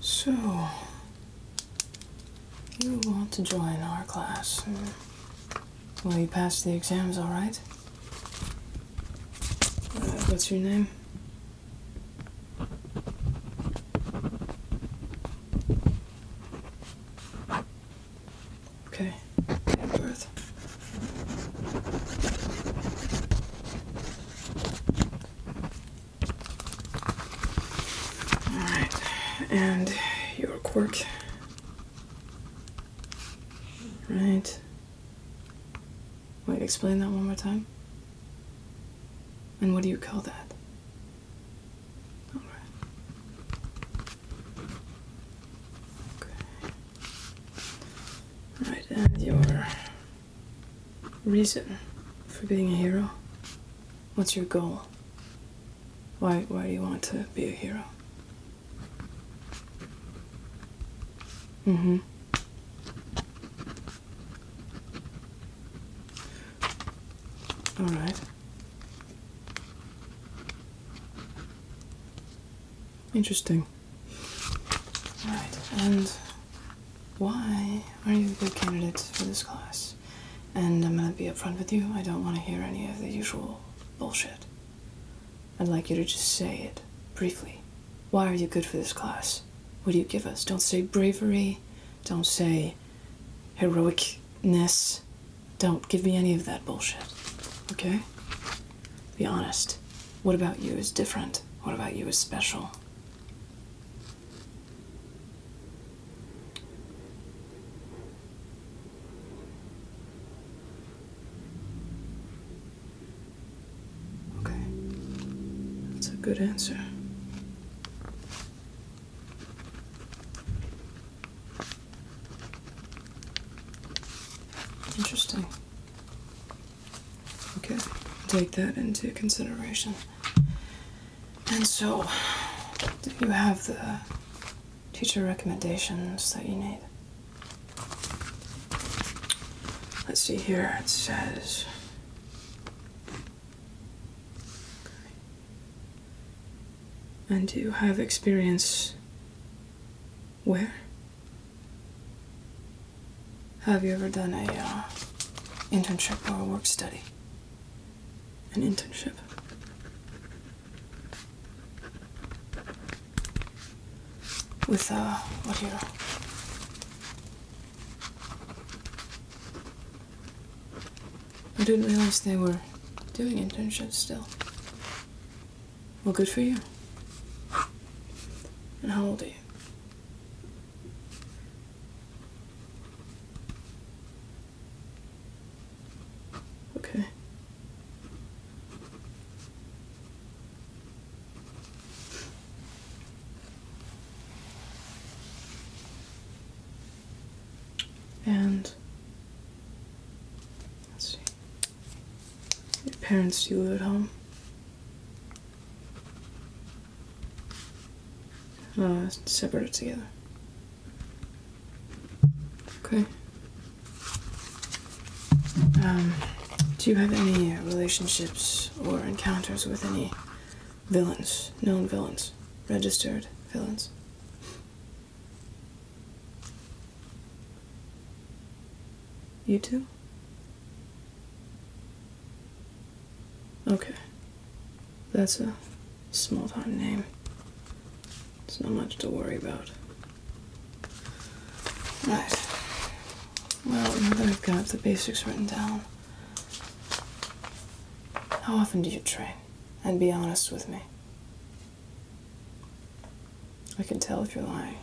So, you want to join our class? Well, you passed the exams, all right? Uh, what's your name? Okay. birth. All right, and your quirk. Right. Wait, explain that one more time. And what do you call that? All right. Okay. All right, and your reason for being a hero? What's your goal? Why, why do you want to be a hero? Mm-hmm. All right. Interesting. All right, and why are you a good candidate for this class? And I'm gonna be upfront with you. I don't want to hear any of the usual bullshit. I'd like you to just say it briefly. Why are you good for this class? What do you give us? Don't say bravery. Don't say heroicness. Don't give me any of that bullshit. Okay? Be honest. What about you is different? What about you is special? Okay, that's a good answer. Interesting. Okay, take that into consideration. And so, do you have the teacher recommendations that you need? Let's see here, it says. and do you have experience where? Have you ever done a uh, internship or a work study? An internship. With uh, what know? I didn't realize they were doing internships still. Well, good for you. And how old are you? Okay. And let's see. Your parents do you live at home. Uh, separate it together. Okay. Um, do you have any relationships or encounters with any villains, known villains, registered villains? You too? Okay. That's a small town name. It's not much to worry about. Right. Well, now that I've got the basics written down, how often do you train? And be honest with me. I can tell if you're lying.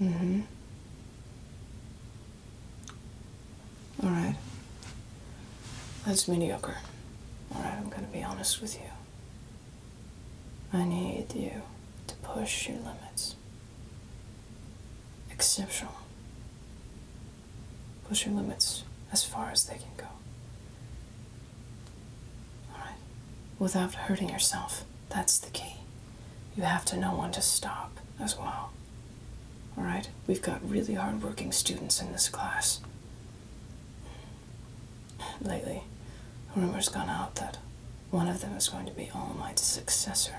Mm hmm. All right. That's mediocre. All right, I'm going to be honest with you. I need you to push your limits. Exceptional. Push your limits as far as they can go. All right. Without hurting yourself. That's the key. You have to know when to stop as well. Alright? We've got really hard-working students in this class. Lately, a rumor's gone out that one of them is going to be All Might's successor.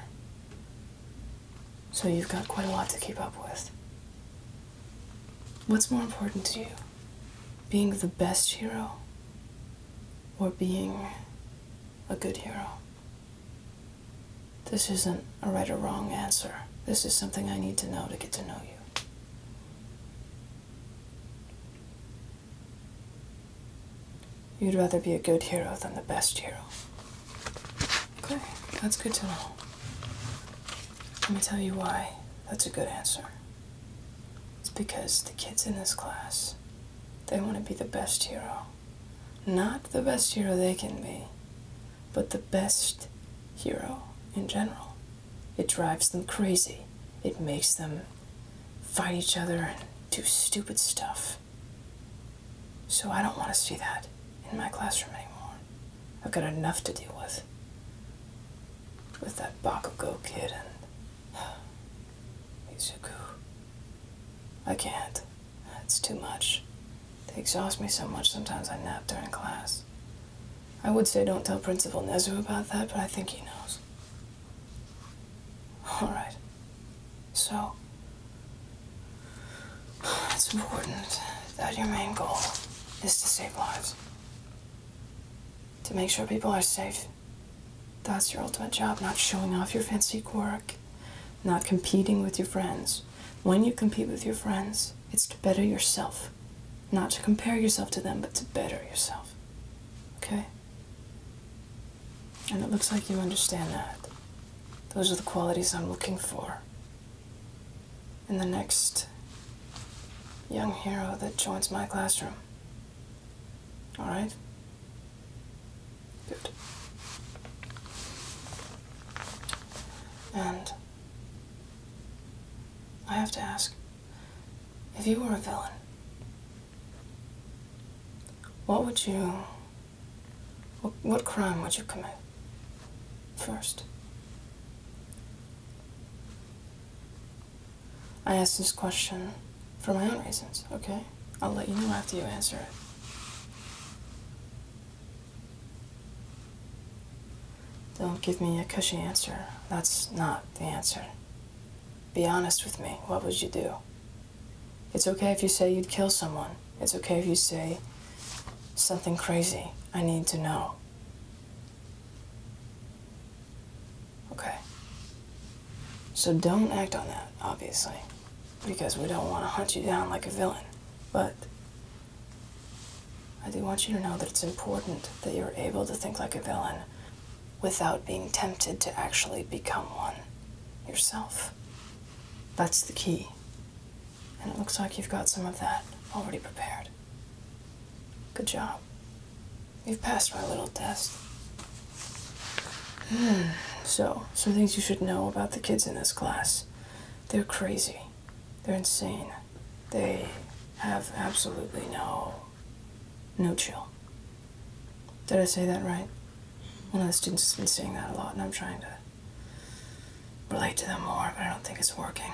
So you've got quite a lot to keep up with. What's more important to you? Being the best hero or being a good hero? This isn't a right or wrong answer. This is something I need to know to get to know you. You'd rather be a good hero than the best hero. Okay, that's good to know. Let me tell you why that's a good answer. It's because the kids in this class, they want to be the best hero. Not the best hero they can be, but the best hero in general. It drives them crazy. It makes them fight each other and do stupid stuff. So I don't want to see that in my classroom anymore. I've got enough to deal with. With that Bakugo kid and Izuku. I can't. That's too much. They exhaust me so much sometimes I nap during class. I would say don't tell Principal Nezu about that, but I think he knows. Alright. So, it's important that your main goal is to save lives. To make sure people are safe that's your ultimate job, not showing off your fancy quirk, not competing with your friends. When you compete with your friends, it's to better yourself. Not to compare yourself to them, but to better yourself. Okay? And it looks like you understand that. Those are the qualities I'm looking for in the next young hero that joins my classroom. All right? Good. And I have to ask if you were a villain, what would you. What, what crime would you commit first? I asked this question for my own reasons, okay? I'll let you know after you answer it. Don't give me a cushy answer. That's not the answer. Be honest with me. What would you do? It's okay if you say you'd kill someone. It's okay if you say something crazy. I need to know. Okay. So don't act on that, obviously because we don't want to hunt you down like a villain. But I do want you to know that it's important that you're able to think like a villain without being tempted to actually become one yourself. That's the key. And it looks like you've got some of that already prepared. Good job. You've passed my little test. so, some things you should know about the kids in this class. They're crazy. They're insane. They have absolutely no no chill. Did I say that right? One of the students has been saying that a lot, and I'm trying to relate to them more, but I don't think it's working.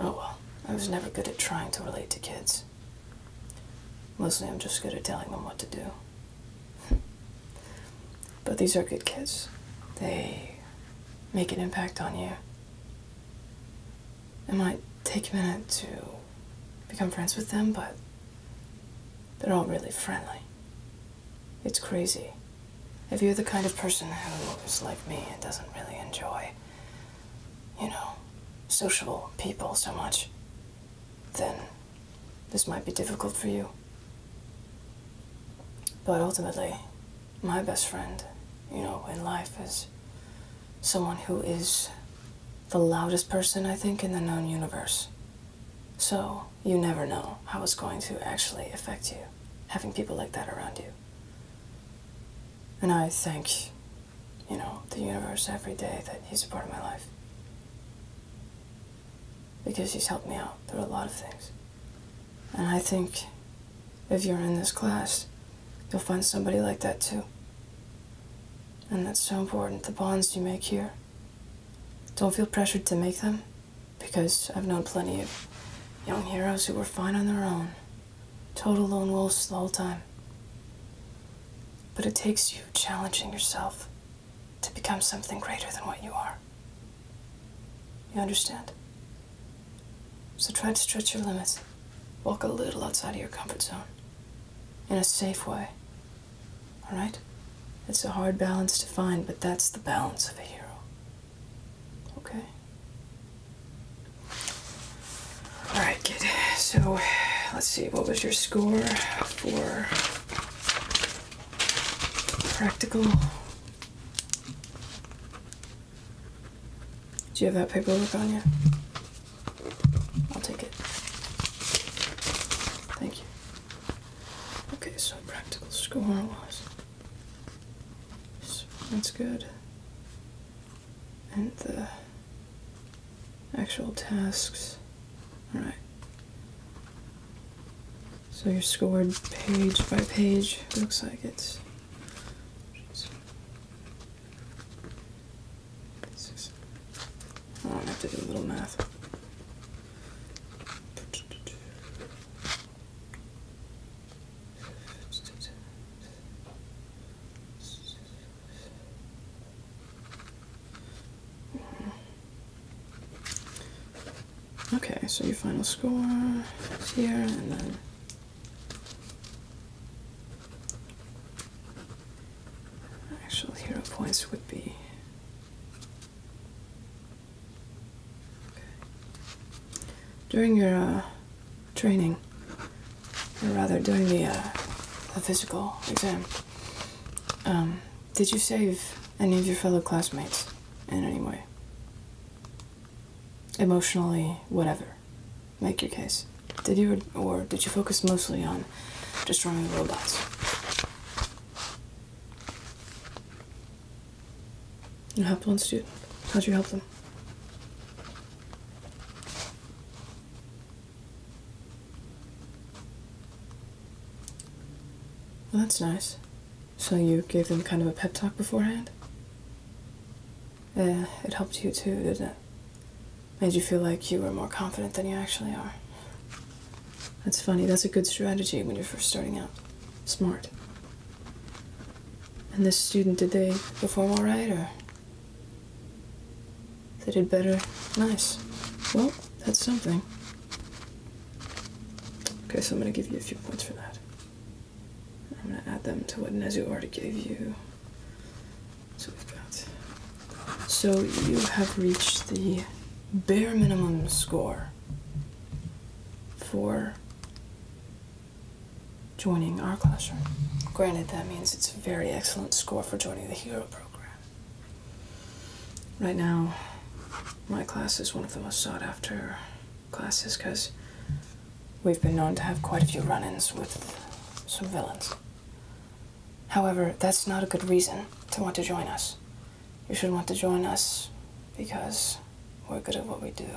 Oh well, I was never good at trying to relate to kids. Mostly I'm just good at telling them what to do. but these are good kids. They make an impact on you. It might take a minute to become friends with them, but they're all really friendly. It's crazy. If you're the kind of person who is like me and doesn't really enjoy, you know, sociable people so much, then this might be difficult for you. But ultimately, my best friend, you know, in life is someone who is the loudest person, I think, in the known universe. So you never know how it's going to actually affect you, having people like that around you. And I think you know, the universe every day that he's a part of my life. Because he's helped me out through a lot of things. And I think if you're in this class, you'll find somebody like that too. And that's so important, the bonds you make here. Don't feel pressured to make them, because I've known plenty of young heroes who were fine on their own, total lone wolves the whole time. But it takes you challenging yourself to become something greater than what you are. You understand? So try to stretch your limits. Walk a little outside of your comfort zone in a safe way. All right? It's a hard balance to find, but that's the balance of a hero. Okay? All right. So let's see, what was your score for practical? Do you have that paperwork on you? I'll take it. Thank you. Okay, so practical score was. that's good. And the actual tasks. Alright. So you're scored page by page. Looks like it's. Six. Oh, I have to do a little math. Okay, so your final score here, and then actual hero points would be. During your uh, training, or rather during the, uh, the physical exam, um, did you save any of your fellow classmates in any way? Emotionally, whatever. Make your case. Did you, or did you focus mostly on destroying the robots? You helped one student. How'd you help them? Well, that's nice. So you gave them kind of a pep talk beforehand? Yeah, it helped you too, didn't it? Made you feel like you were more confident than you actually are. That's funny. That's a good strategy when you're first starting out. Smart. And this student, did they perform all right, or? They did better. Nice. Well, that's something. Okay, so I'm going to give you a few points for that. I'm going to add them to what Nezu already gave you. So we've got. So you have reached the bare minimum score for joining our classroom. Granted, that means it's a very excellent score for joining the hero program. Right now, my class is one of the most sought after classes because we've been known to have quite a few run ins with some villains. However, that's not a good reason to want to join us. You should want to join us because we're good at what we do,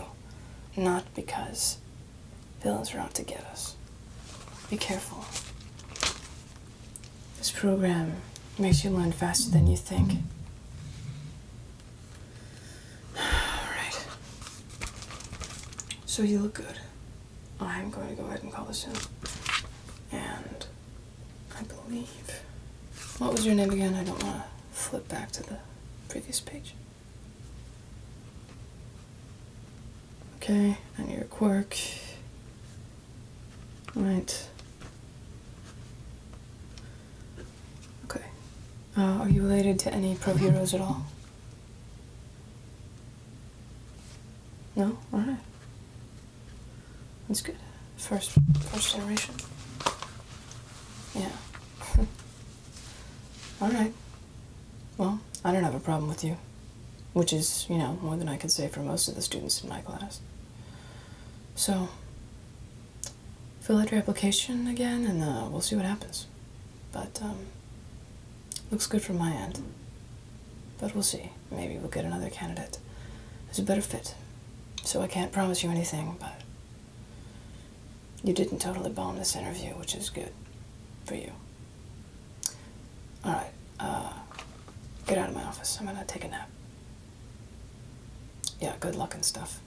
not because villains want to get us. Be careful. This program makes you learn faster than you think. Alright. So you look good. I'm going to go ahead and call this in. And I believe. What was your name again? I don't want to flip back to the previous page. Okay, and your quirk. Right. Okay. Uh, are you related to any pro heroes at all? No? Alright. That's good. First, first generation. Yeah. Alright. Well, I don't have a problem with you which is, you know, more than I can say for most of the students in my class. So, fill out your application again and uh, we'll see what happens. But, um, looks good from my end. But we'll see. Maybe we'll get another candidate who's a better fit. So I can't promise you anything, but you didn't totally bomb this interview, which is good for you. All right, uh, get out of my office. I'm gonna take a nap. Yeah, good luck and stuff.